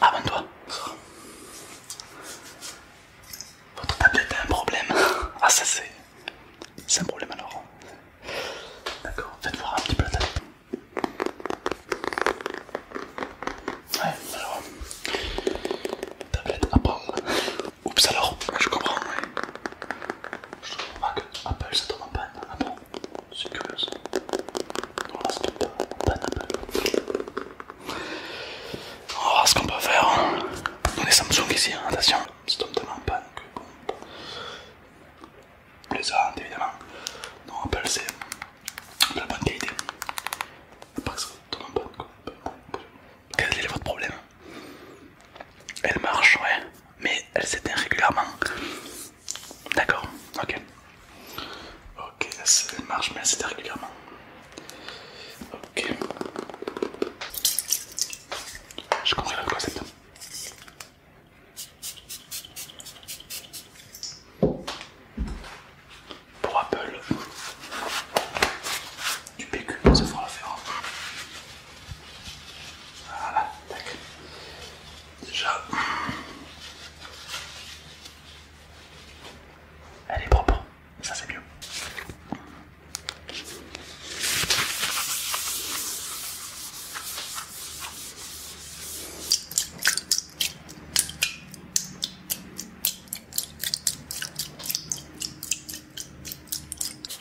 Abonne-toi. Votre tablette a un problème. Ah ça c'est... C'est un problème alors. D'accord, faites voir un petit peu la tablette. Ouais, alors... Tablette Apple. Oups alors, je comprends, Je trouve que Apple ça tombe en panne. Ah c'est curieux hein. On va voir ce qu'on peut faire. Hein. On est Samsung ici, hein, attention. C'est tellement panne que bon. Les a évidemment. Donc Apple c'est de la bonne qualité. Pas que ça tombe en panne quoi. Quel est votre problème Elle marche, ouais, mais elle s'éteint régulièrement. D'accord, ok. Ok, elle marche mais assez régulièrement. Ok. Je compris la concept. Pour Apple, du PQ, ça fera l'affaire. Voilà, tac. Déjà, elle est propre, ça c'est mieux.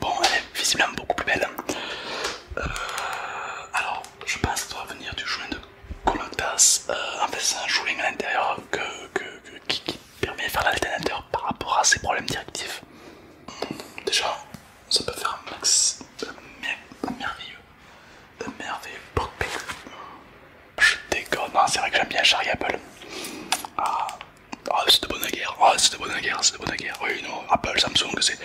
Bon, elle est visiblement beaucoup plus belle. Euh, alors, je pense que ça doit venir du joint de Colotas. Euh, en fait, c'est un joint à l'intérieur qui, permet de faire l'alternateur par rapport à ses problèmes directifs. Hmm, déjà, ça peut faire un max de merveilleux, merveilleux Je déconne, hein, c'est vrai que j'aime bien Charlie Apple. Ah, ah, c'est de bonne guerre, ah, c'est de bonne guerre, c'est de bonne guerre. Oui, non, Apple, Samsung, c'est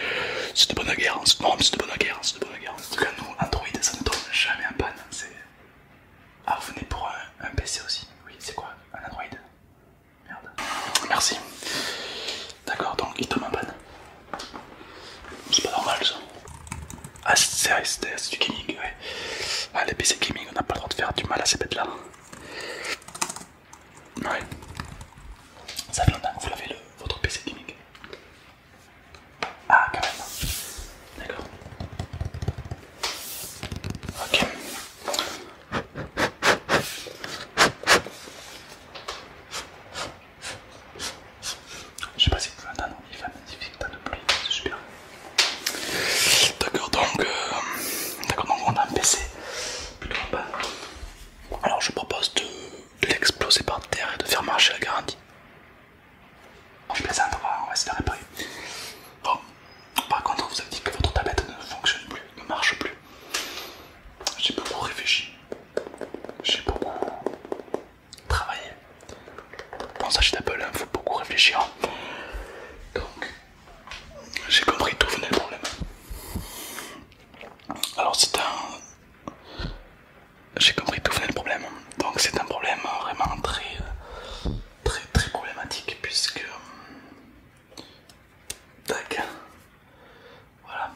de bonne guerre. Non, c'est de bonne guerre, c'est de bonne guerre. En tout cas, nous, Android, ça ne tombe jamais en panne. Ah, vous venez pour un, PC aussi Oui, c'est quoi Un Android Merde. Merci. D'accord, donc il tombe en panne. C'est pas normal ça. Ah, c'est du gaming, ouais. Ah, les PC gaming, on n'a pas le droit de faire du mal à ces bêtes là. Ouais. Ça fait longtemps que vous l'avez, votre PC gimmick Ah, quand même. D'accord. Ok. Je sais pas si vous pouvez entendre, il fait un petit peu de pluie, c'est super. D'accord, donc, euh, d'accord donc on a un PC plutôt Alors je propose de l'exploser par terre et de faire marcher la garantie. On je plaisante, on va, essayer de réparer. Bon, par contre, vous avez dit que votre tablette ne fonctionne plus, ne marche plus. J'ai beaucoup réfléchi, j'ai beaucoup travaillé. Bon ça, je il faut beaucoup réfléchir. Donc, j'ai compris tout venait le problème. Alors c'est un... J'ai compris tout venait le problème. Donc c'est un problème vraiment très très très problématique puisque... Tac. Voilà.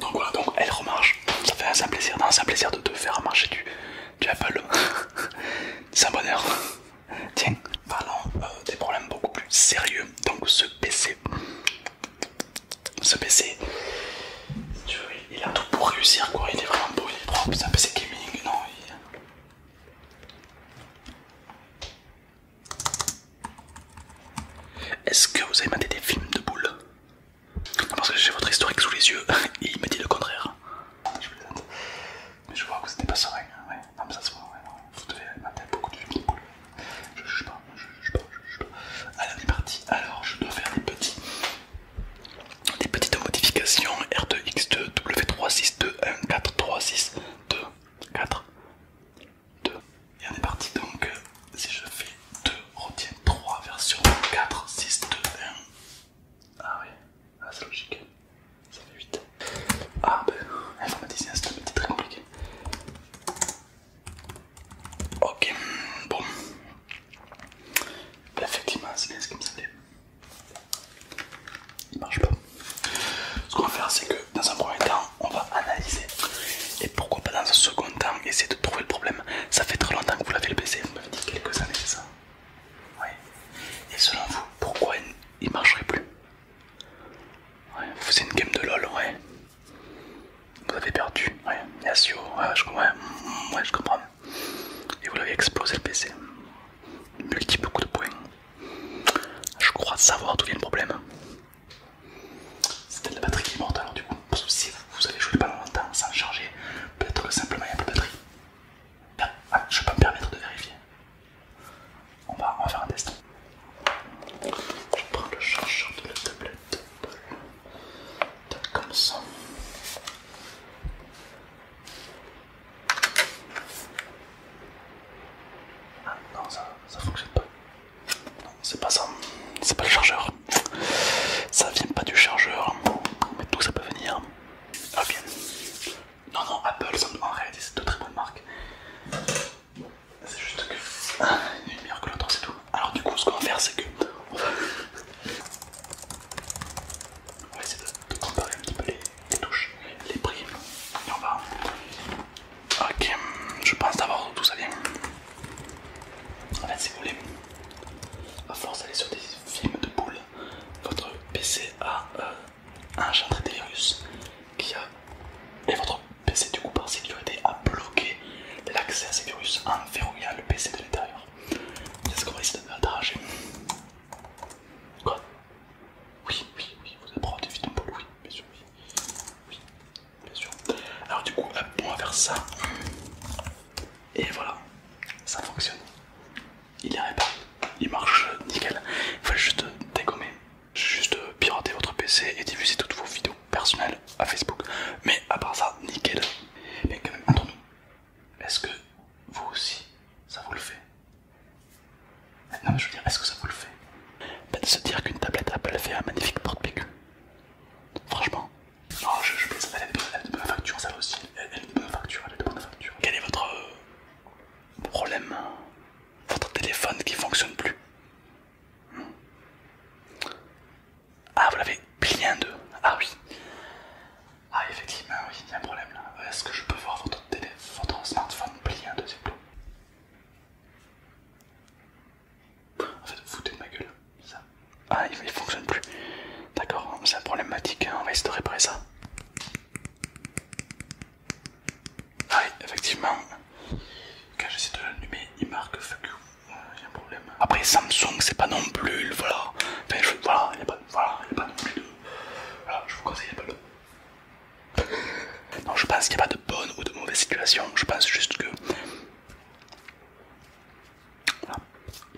Donc voilà, donc elle remarche. Ça fait un simple plaisir, un plaisir de te faire marcher du, Apple. C'est un bonheur. Tiens, parlons euh, des problèmes beaucoup plus sérieux. Donc ce PC, ce PC, il a tout pour réussir quoi. Il est vraiment beau, il C'est un PC gaming, non est-ce que vous avez maté des films de boules Parce que j'ai votre historique sous les yeux et il me dit le contraire. Je Mais je vois que c'était pas serein. Hein, vous devez mater beaucoup de films de boules. Je juge pas, je juge juge pas. Allez, on est parti. Alors, je dois faire des Des petites modifications R2X2 2 w 3 6 2 1 4 3 6 2 4 2. Et on est parti donc, euh, si je fais 2, retiens 3 version 4, 6, 2, 1. Ah oui, ah, c'est logique. Ça fait 8. Ah ben, un petit très compliqué. Ok, bon. Ben, effectivement, c'est bien ce qu'il me semblait. Il marche pas. Ce qu'on va faire, c'est que dans un premier temps, on va analyser et pourquoi pas dans un second temps essayer de trouver le problème. Ça fait très longtemps que vous l'avez le PC, vous m'avez dit quelques années, Et selon vous, pourquoi il ne marcherait plus Vous faisiez une game de LOL, ouais. Vous avez perdu, je, mm, Et vous l'avez explosé le PC. Multiple coup de poing, Je crois savoir d'où vient le problème peut-être la batterie qui est morte alors du coup, si vous avez joué pendant longtemps sans charger, peut-être que simplement il n'y a pas de batterie. Ah, ah, je peux me permettre de vérifier. On va, faire un test. Je prends le chargeur de la tablette. Comme ça. Ah non, ça, ça fonctionne pas. Non, c'est pas ça. C'est pas le chargeur. Ça vient pas du chargeur. Mais d'où ça peut venir. Ah bien. Non, non, Apple, en réalité, c'est deux très bonnes marques. C'est juste que ah, est meilleure que l'autre, c'est tout. Alors, du coup, ce qu'on va faire, c'est que. On va essayer de comparer un petit peu les, les touches, les primes. Et on va. Ok, je pense d'abord tout ça bien. En fait, si vous voulez, à force d'aller sur des films de boules, votre PC a euh, un engendré des virus qui a. Et votre PC, du coup, par sécurité, a bloqué l'accès à ces virus en verrouillant le PC de l'intérieur. C'est ce qu'on va essayer de Quoi oui, oui, oui, vous des vite un peu, oui, bien sûr, oui. bien sûr. Alors du coup, on va faire ça. Et voilà, ça fonctionne. Il est réparé, il marche nickel. Il faut juste dégommer, juste pirater votre PC et diffuser toutes vos vidéos personnelles à Facebook. Mais à part ça, nickel. Mais quand même, entre nous, est-ce que vous aussi, ça vous le fait non mais je veux dire, est-ce que ça vous le fait peut De se dire qu'une tablette Apple fait un magnifique porte Franchement. Non, je, elle est de, facture, ça aussi. Elle, elle est bonne facture, elle est de bonne facture. Quel est votre euh, problème hein? Votre téléphone qui fonctionne plus hmm. Ah, vous l'avez bien deux Ah oui. Ah effectivement, oui, il y a un problème là. Est-ce que je peux voir votre téléphone votre smartphone plié un deuxième plat. En fait, foutez de ma gueule. Ça. Ah, il, fonctionne plus. D'accord, hein, c'est un problématique, hein, on va essayer de réparer ça. Ah oui, effectivement, quand j'essaie de l'allumer, il marque fuck you. Il euh, y a un problème. Après, Samsung, c'est pas non plus. Voilà, enfin, voilà, il n'y a, voilà, a pas non plus de. Voilà, je vous conseille, pas non, je pense qu'il n'y a pas de bonne ou de mauvaise situation. Je pense juste que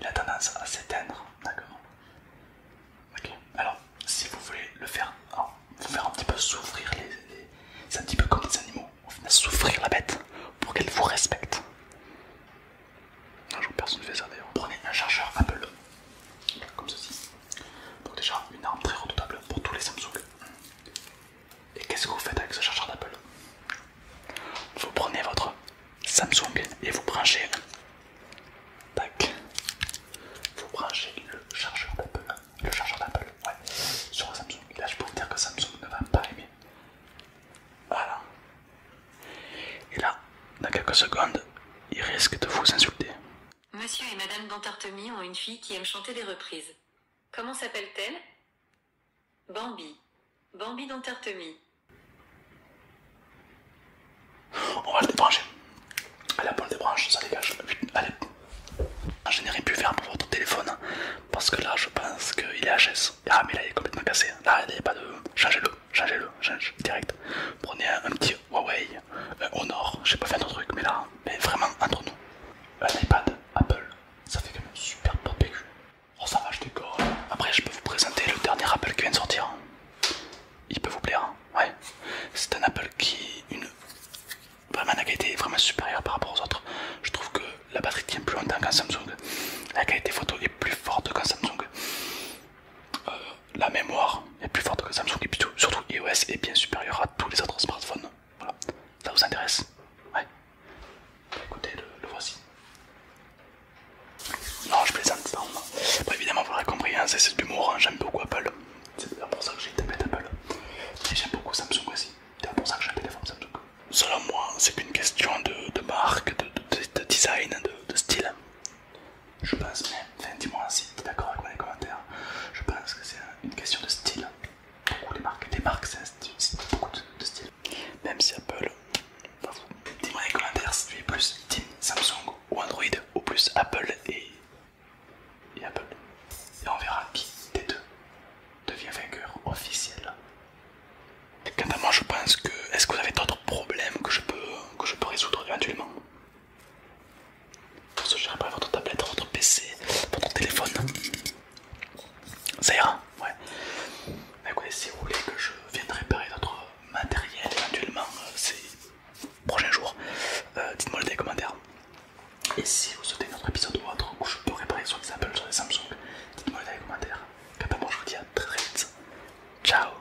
il a tendance à s'éteindre, d'accord. Ok. Alors, si vous voulez le faire, vous faire un petit peu souffrir les, c'est un petit peu comme des animaux. souffrir la bête pour qu'elle vous respecte. Un jour personne ne fait ça d'ailleurs. Prenez un chargeur Apple, comme ceci. Donc déjà une arme très redoutable pour tous les Samsung. Et qu'est-ce que vous faites avec ce chargeur d'Apple Vous prenez votre Samsung et vous branchez. Tac. Vous branchez le chargeur d'Apple. Le chargeur d'Apple, ouais. Sur un Samsung. Là je peux vous dire que Samsung ne va pas aimer. Voilà. Et là, dans quelques secondes, il risque de vous insulter. Monsieur et Madame Dantartemi ont une fille qui aime chanter des reprises. Comment s'appelle-t-elle Bambi. Bambi Dantartemi. On va le débrancher. Allez, on le débranche, ça dégage. Allez. Ah, je n'ai rien pu faire pour votre téléphone hein, parce que là, je pense qu'il est HS. Ah, mais là, il est complètement cassé. Là, il n'y a pas de. Changez-le changez-le, changez, direct. Prenez un, petit Huawei, euh, un Honor, j'ai pas fait un autre truc, mais là, mais vraiment entre nous, un iPad Apple, ça fait quand même super bon Oh, ça va, Après, je peux vous présenter le dernier Apple qui vient de sortir. Il peut vous plaire, hein. ouais. C'est un Apple qui une vraiment la qualité vraiment supérieure par rapport aux autres. Je trouve que la batterie tient plus longtemps qu'un Samsung. La qualité photo est plus forte qu'un Samsung. Euh, la mémoire est plus forte que Samsung et plutôt, surtout iOS est bien supérieur à tous les autres smartphones. Voilà, ça vous intéresse Ouais. Écoutez, le, voici. Non, je plaisante. Non. évidemment, vous l'aurez compris, hein, c'est de l'humour. Hein. j'aime beaucoup Apple. C'est pour ça que j'ai tapé Apple. Et j'aime beaucoup Samsung aussi. C'est pour ça que j'ai un téléphone Samsung selon moi, c'est qu'une question de, marque, de, design, de, style. Je pense, même, enfin, dis-moi si tu d'accord avec moi dans les commentaires. Je pense que c'est une question de style. Beaucoup de marques, des marques, c'est beaucoup de, style. Même si Apple, dis-moi dans les commentaires si tu es plus Team Samsung ou Android ou plus Apple et, et Apple. Et on verra qui des deux devient vainqueur officiel Quant à moi, je pense que. Est-ce que vous avez d'autres problèmes que je peux, résoudre éventuellement Pour ce, réparer votre tablette, votre PC, votre téléphone. Ça ira Ouais. Mais si vous voulez que je vienne réparer d'autres matériels éventuellement euh, ces prochains jours, euh, dites-moi dans les commentaires. Et si vous souhaitez un autre épisode ou autre où je peux réparer soit des Apple, soit des Samsung, dites-moi dans les commentaires. Et eh ben, moi je vous dis à très très vite. Ciao